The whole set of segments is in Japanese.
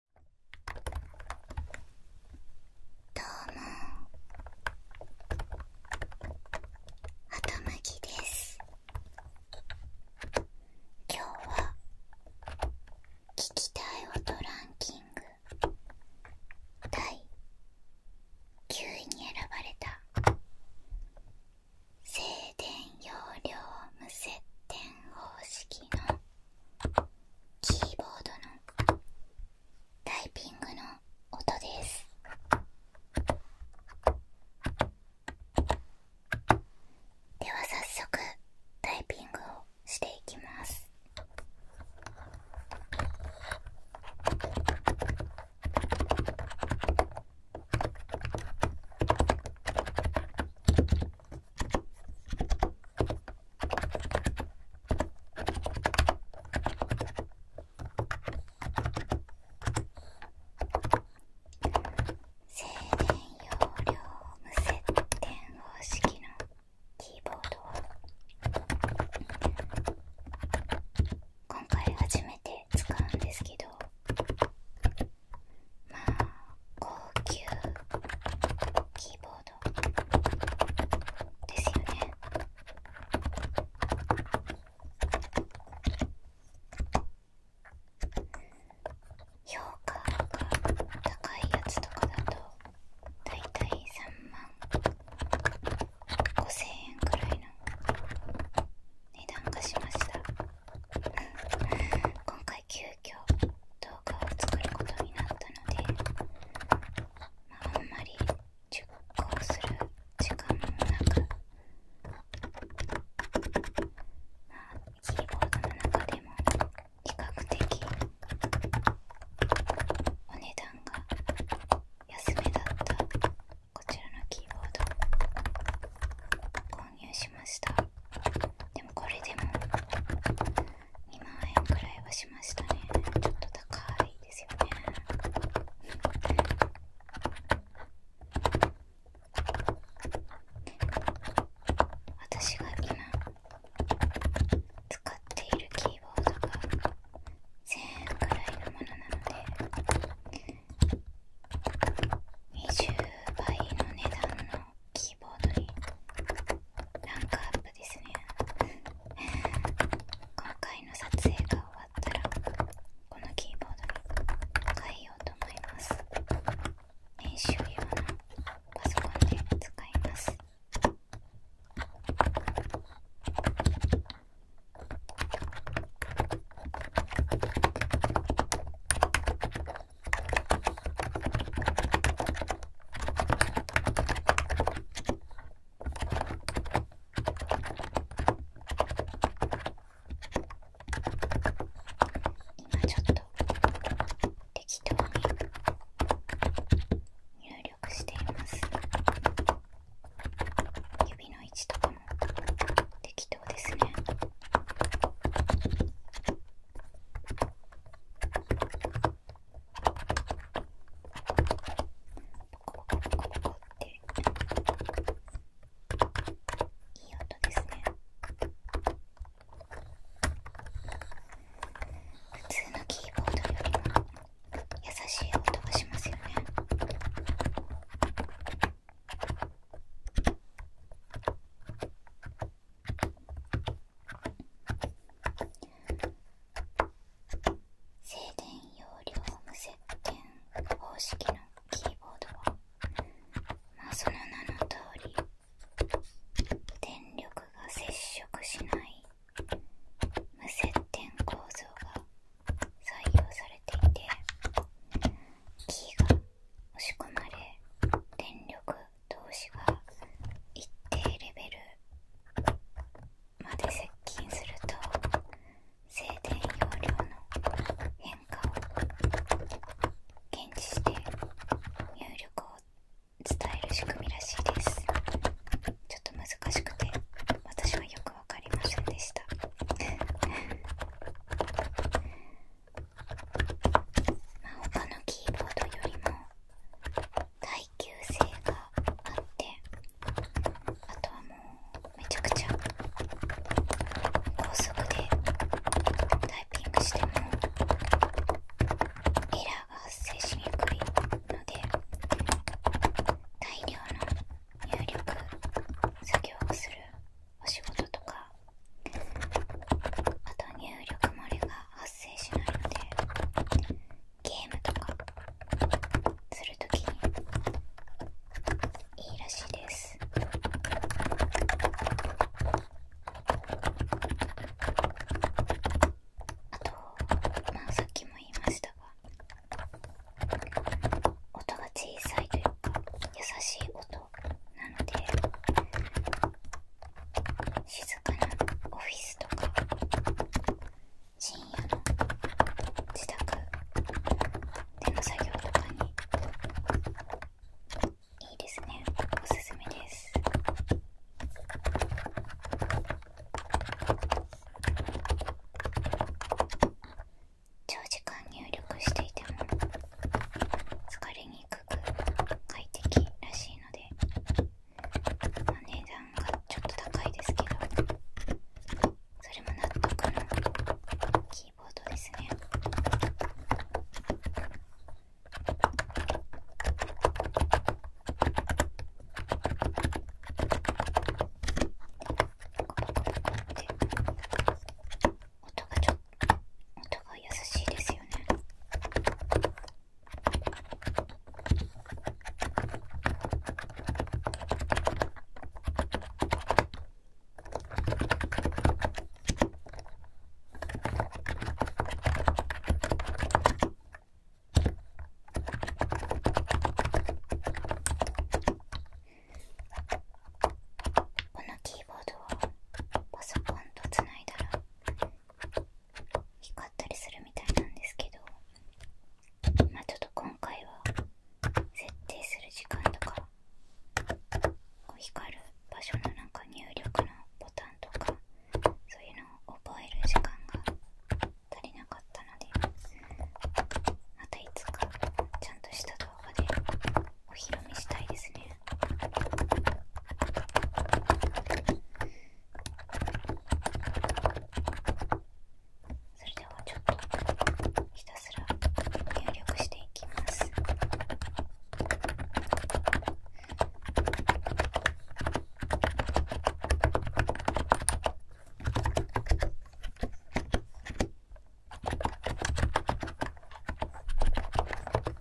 どうもはきです今日は聞きたい音ランキング第9位に選ばれた静電容量無接点方式のキーボードのタイピングの音ですでは早速タイピングをしていきます静電容量無接点方式のキーボードを今回初めて使うんですけどまあ高級キーボードですよね評価が高いやつとかだとだいたい3万5千円くらいの値段がしました今回9急遽動画を作ることになったので、あ、んまり熟考する時間もなく、キーボードの中でも比較的お値段が安めだったこちらのキーボード購入しましたでもこれでも2万円くらいはしましたねちょっと高いですよね私が今使っているキーボードが1000円くらいのものなので20倍の値段のキーボードにランクアップですね今回の撮影が終わったらこのキーボードに変えようと思います練習用のパソコンで使います今ちょっと適当に入力しています指の位置とかも適当ですね。ココポコココっていい音ですね普通のキーボードよりも優しい音がしますよね静電容量無接点方式のキーボードはまその名の通り電力が接触しない無接点構造が採用されていてキーが押し込まれ電力同士が一定レベルまで接近すると静電容量の変化を検知して入力を伝える仕組みらしいですちょっと難しくて私はよくわかりませんでしたまあ、他のキーボードよりも耐久性があってあとはもうめちゃくちゃ高速でタイピングしてもエラーが発生しにくいので大量の入力作業をするお仕事とかあと入力漏れが発生しないのでゲームとかするときにいいらしいですあとまあさっきも言いましたが音が小さいというか優しい音なので静かなオフィスとか深夜の自宅での作業とかにいいですねおすすめです長時間入力していても疲れににく快適らしいので、ま値段がちょっと高いですけどそれも納得のキーボードですね音がちょっと音が優しいですよね。このキーボードをパソコンとつないだら光ったりするみたいなんですけどまちょっと今回は設定する時間とか光る場所のなんか入力のボタンとかそういうのを覚える時間が足りなかったのでまたいつかちゃんとした動画でお披露目したいですね。それではちょっとひたすら入力していきます。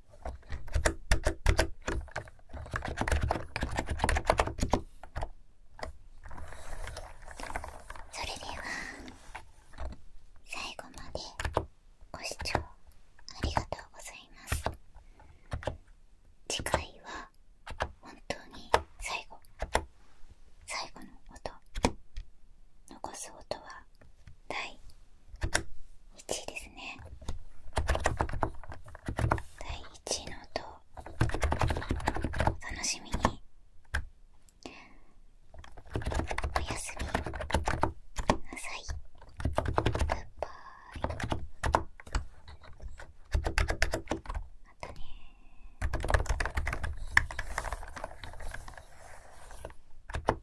それでは最後までご視聴ありがとうございます次回は本当に最後最後の音残す音は第1位ですね第1位の音楽しみにおやすみなさいグッバイまたねー